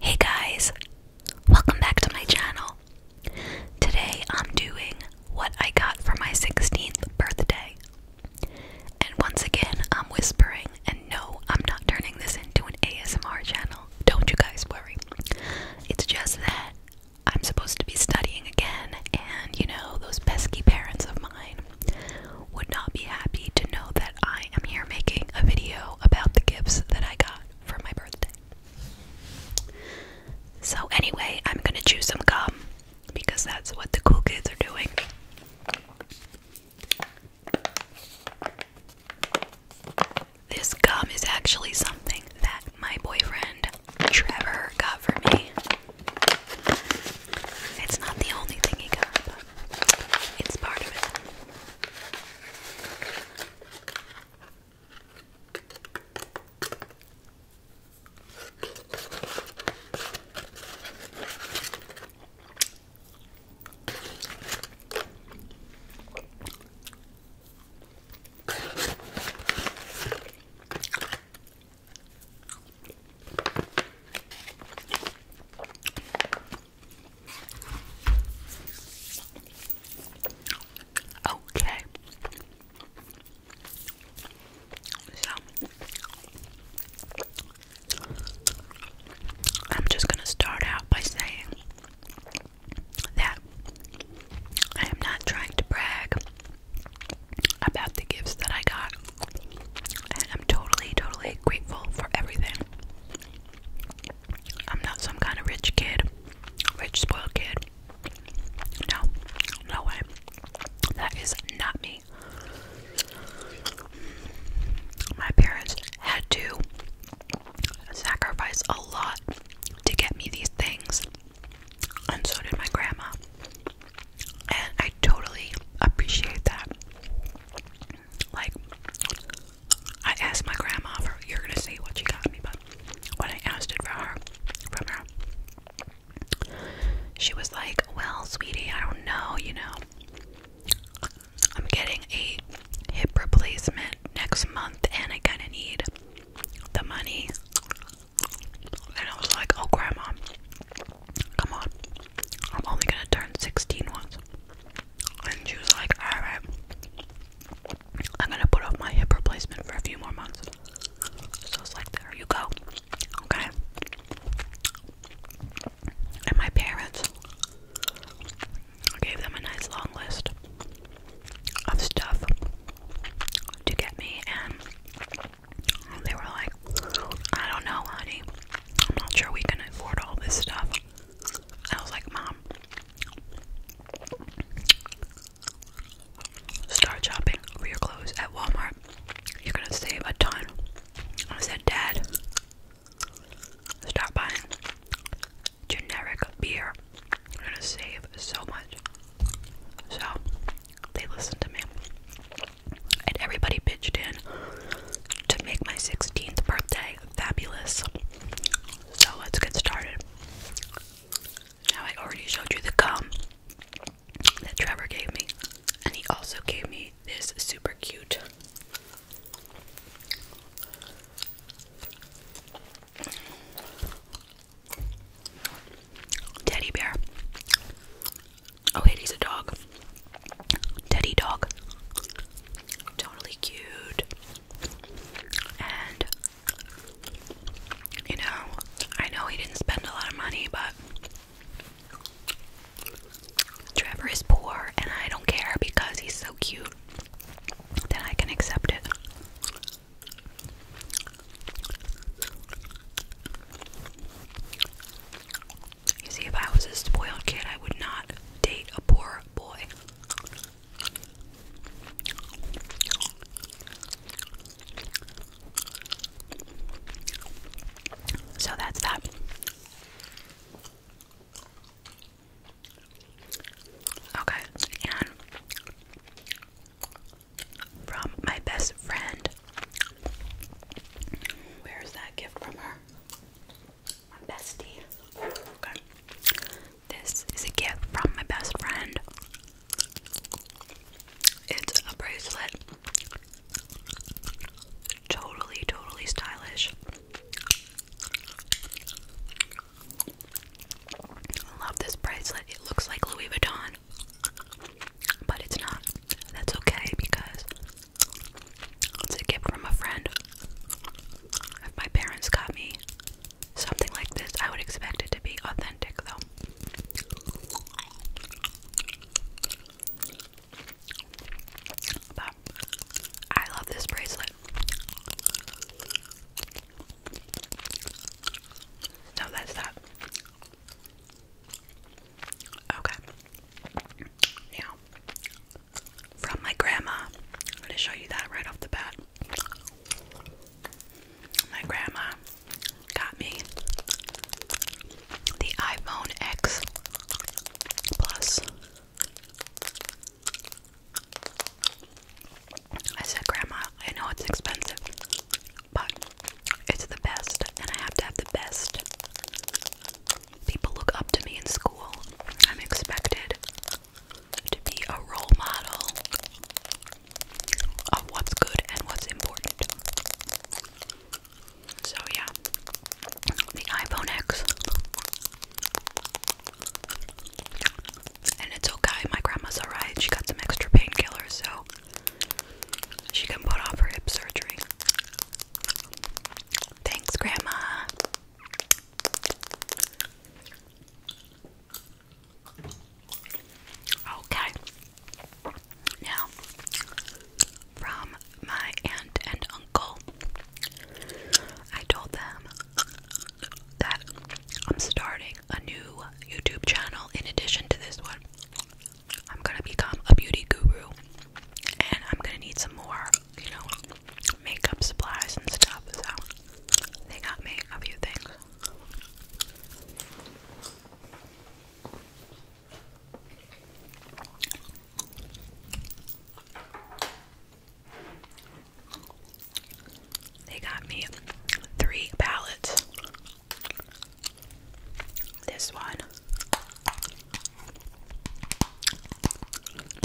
Hey guys, welcome back to my channel. Today I'm doing what I got for my 16th birthday. And once again, I'm whispering, and no, I'm not turning this into an ASMR channel. Don't you guys worry. It's just that I'm supposed to be studying again, and you know, those pesky parents of mine. Would not be happy to know that I am here making a video about the gifts that I got for my birthday. So, anyway, I'm gonna chew some gum because that's what the cool kids are doing. This gum is actually something that my boyfriend Trevor got for me. It's not the only thing he got, it's part of it. Okay. So I'm just going to start out by saying that I am not trying to brag about the gifts that I got. I'm totally, totally grateful for everything. I'm not some kind of rich kid, rich spoiled kid. No, no way. That is not me. My parents had to sacrifice a lot to get me these things, and so did my grandma. And I totally appreciate that. Like, I asked my grandma for, you're gonna see what she got me, but when I asked it for her, from her, she was like, well, sweetie, I don't know, you know, I'm getting a hip replacement next month and I kinda need the money. And I was like, oh, grandma, Come on. I'm only gonna turn 16 once. And she was like, alright. I'm gonna put off my hip replacement for a few more months. So it's like, there you go. Okay. And my parents gave them a nice long list of stuff to get me and they were like, I don't know, honey. I'm not sure we can afford all this stuff. I was like, Mom, start shopping for your clothes at Walmart. You're gonna save a ton. I said, Dad, stop buying generic beer. You're gonna save so much. So they listened to me and everybody pitched in to make my 16th birthday fabulous. So let's get started. Now, I already showed you the gum that Trevor gave me, and he also gave me this super cute teddy bear. Oh, wait, he's a dog. Teddy dog. Totally cute. And, you know, I know he didn't spend a lot of money, but Trevor is poor, and I don't care because he's so cute Then I can accept it. You see, if I was a spoiled kid, I would not date a poor boy. So that's that. Okay, from my best friend. Where is that gift from her? bestie. Okay. This is a gift from my best friend. It's a bracelet. Totally, totally stylish. love this bracelet. It looks like Louis Vuitton but it's not. That's okay because it's a gift from a friend. If my parents got me something like this, I would expect it to be authentic though. But I love this bracelet. So that's that. Okay. Now, from my grandma, I'm going to show you that right off the bat. My grandma got me the iPhone X Plus. I said, Grandma, I know it's expensive, but it's the best, and I have to have the best. People look up to me in school. I'm expected to be a role model of what's good and what's important. So, yeah, the iPhone X. And it's okay, my grandma's alright. She got some extra painkillers, so she can put off her hip surgery. Thanks, Grandma. Okay. Now, from my aunt and uncle, I told them that I'm starting a new YouTube channel in addition to this one. I'm gonna become a beauty guru and I'm gonna need some more, you know, makeup supplies and stuff. So they got me a few things. They got me three palettes this one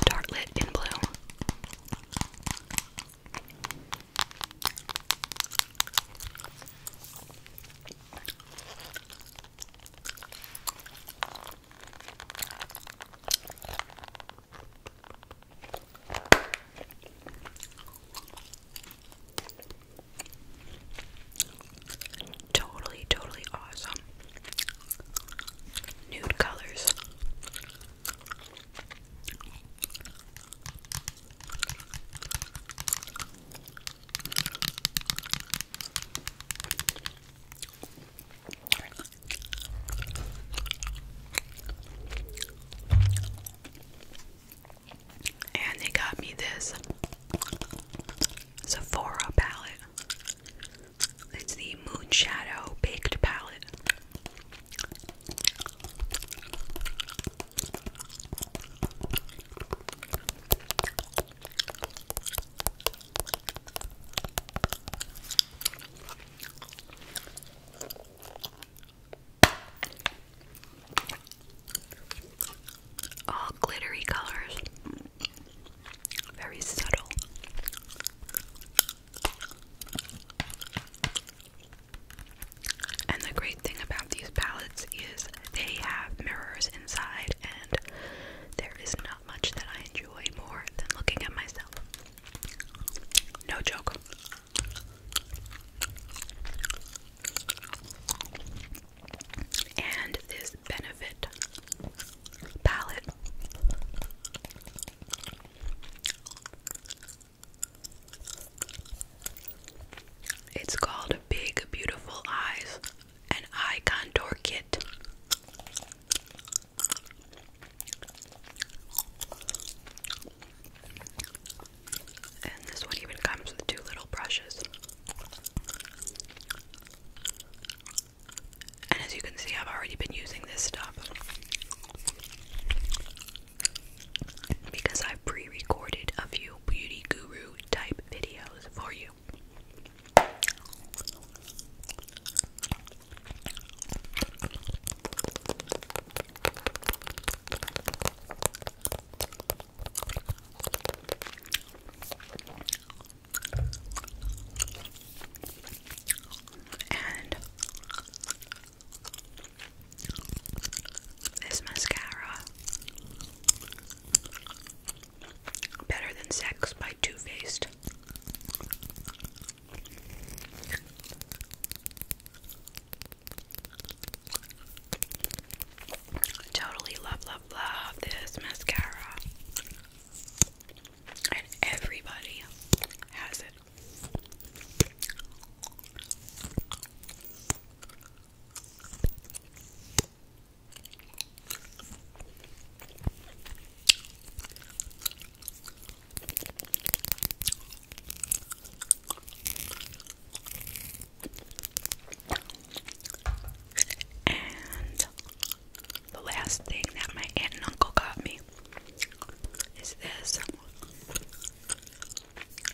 Dartlet in blue. Totally, totally awesome. Nude colors. And they got me this Sephora palette. It's the Moon Shadow Baked Palette. All glittery colors, very subtle. And the great thing about these palettes is they have mirrors inside, and there is not much that I enjoy more than looking at myself. No joke. And this Benefit palette. It's called Big Beautiful Eyes, an eye contour kit. And this one even comes with two little brushes. And as you can see, I've already been using this stuff because I pre recorded a few beauty guru type videos for you. And this mascara, Better Than Sex by Too Faced. Totally love, love, love this mascara. And everybody has it. And the last thing that my aunt and uncle got me is this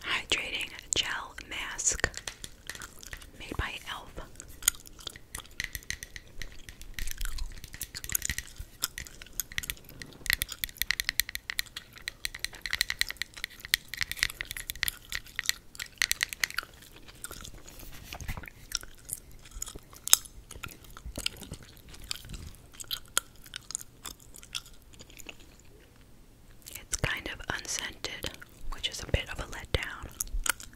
hydrating gel mask made by Elf. It's kind of unscented, which is a bit of a letdown.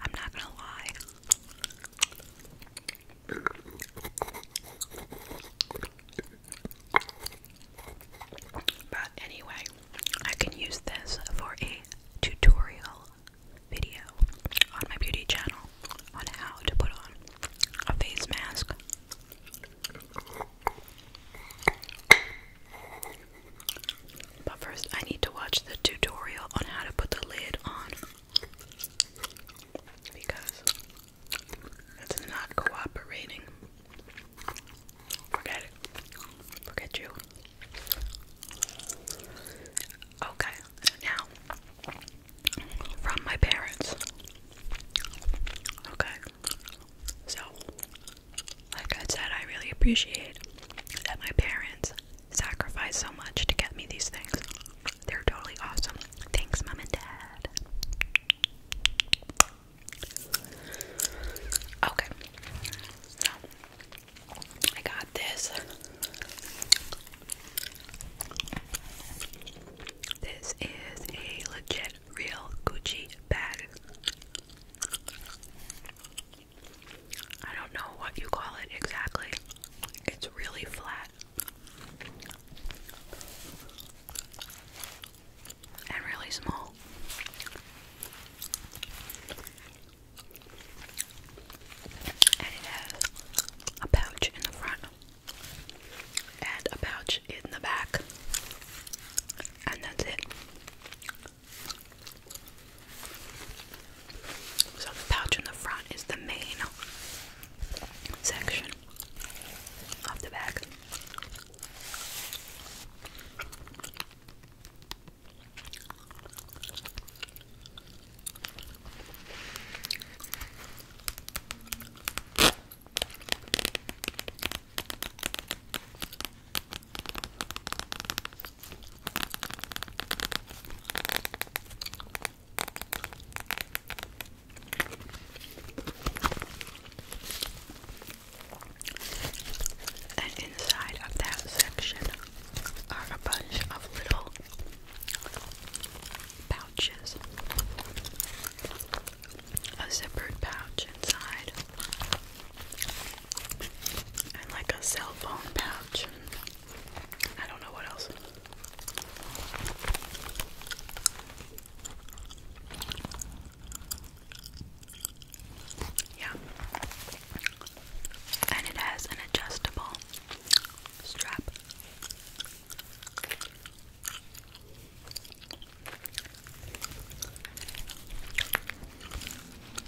I'm not gonna lie. But anyway, I can use this for a tutorial video on my beauty channel on how to put on a face mask. But first, I need to watch the tutorial on how to put the lid on because it's not cooperating. Forget it. Forget you. Okay, now from my parents. Okay, so like I said, I really appreciate that my parents sacrificed so much to get me these things. They're totally awesome. Thanks, Mom and Dad. Okay. So, I got this. This is a legit, real Gucci bag. I don't know what you call it exactly. It's really flat and really small. And it has a pouch in the front and a pouch in the back, and that's it. So the pouch in the front is the main section of the bag. And inside of that section are a bunch of little pouches. A zippered pouch inside. And like a cell phone pouch. I don't know what else. Yeah. And it has an adjustable strap.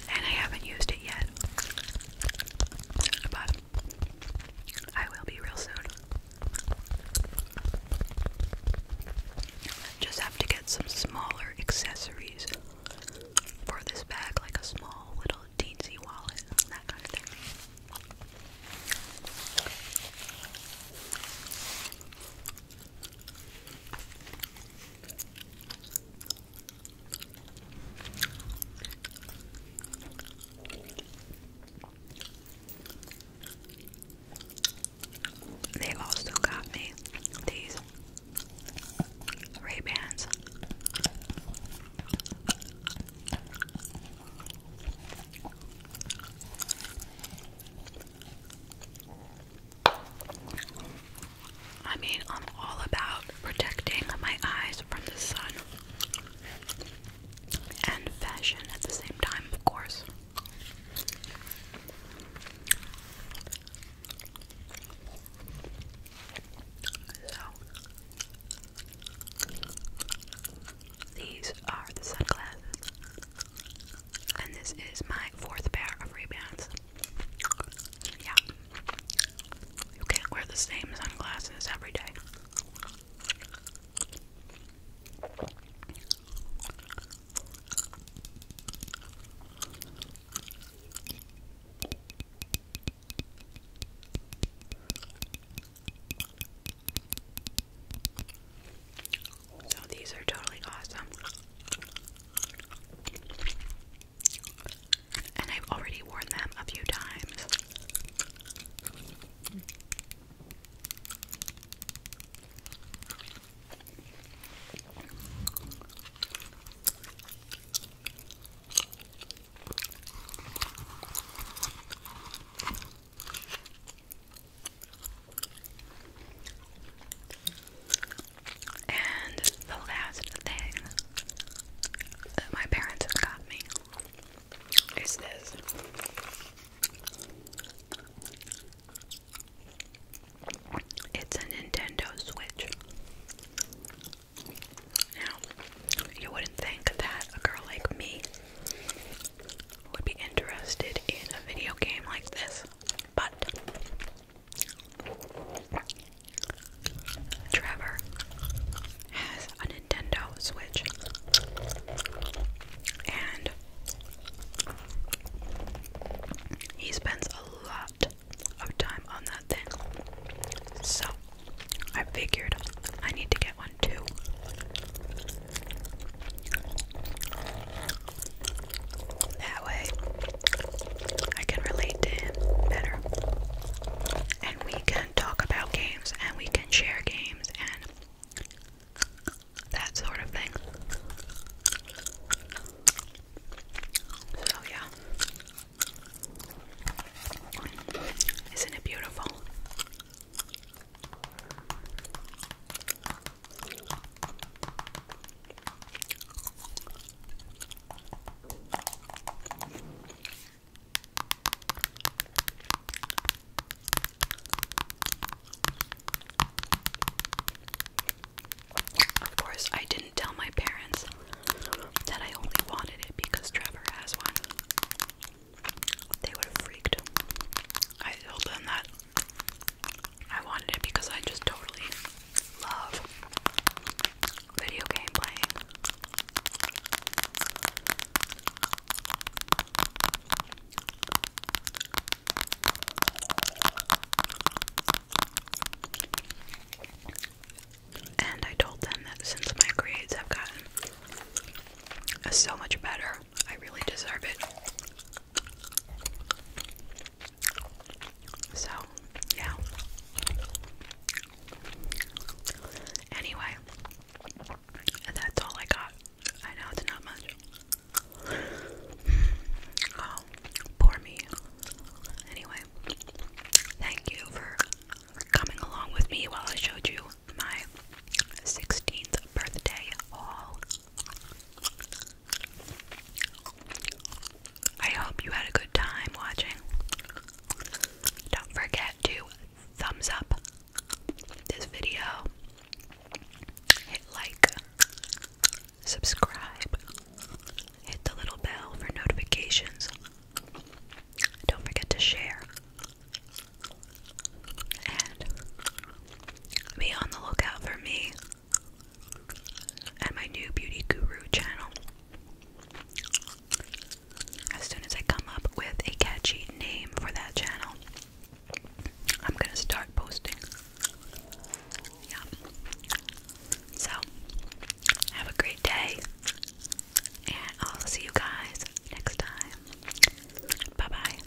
And I haven't used it yet. I will be real soon. Just have to get some smaller accessories for this bag, like a small little teensy wallet, that kind of thing. They also got me these Ray-Bans. I mean, I'm all about protecting my eyes from the sun and fashion at the same time, of course. So, these are the sunglasses, and this is my fourth pair of ray Yeah, you can't wear the same sunglasses every day. So these are totally awesome and I've already worn them a few times. And the last thing that my parents have got me is this. It's a Nintendo Switch. Now, you wouldn't think that a girl like me would be interested in a video game like this, but Trevor has a Nintendo Switch, and he spends a lot of time on that thing. So I figured I need to get one too. That way, I can relate to him better. And we can talk about games and we can share games and that sort of thing. So, yeah. Isn't it beautiful? Of course, I didn't tell my parents that I only wanted it because Trevor has one. They would have freaked. I told them that I wanted it because I just totally love video game playing. And I told them that since my grades have gotten so much better, I really deserve it. So, yeah. Anyway, that's all I got. I know it's not much. Oh, poor me. Anyway, thank you for, coming along with me while I showed you my 16th birthday haul. I hope you had a good time watching. Don't forget to thumbs up this video, hit like, subscribe, hit the little bell for notifications. Don't forget to share. And be on the lookout for me and my new beauty guru channel. As soon as I come up with a catchy name for that channel, I'm gonna start posting. Yeah. So, have a great day, and I'll see you guys next time. Bye bye.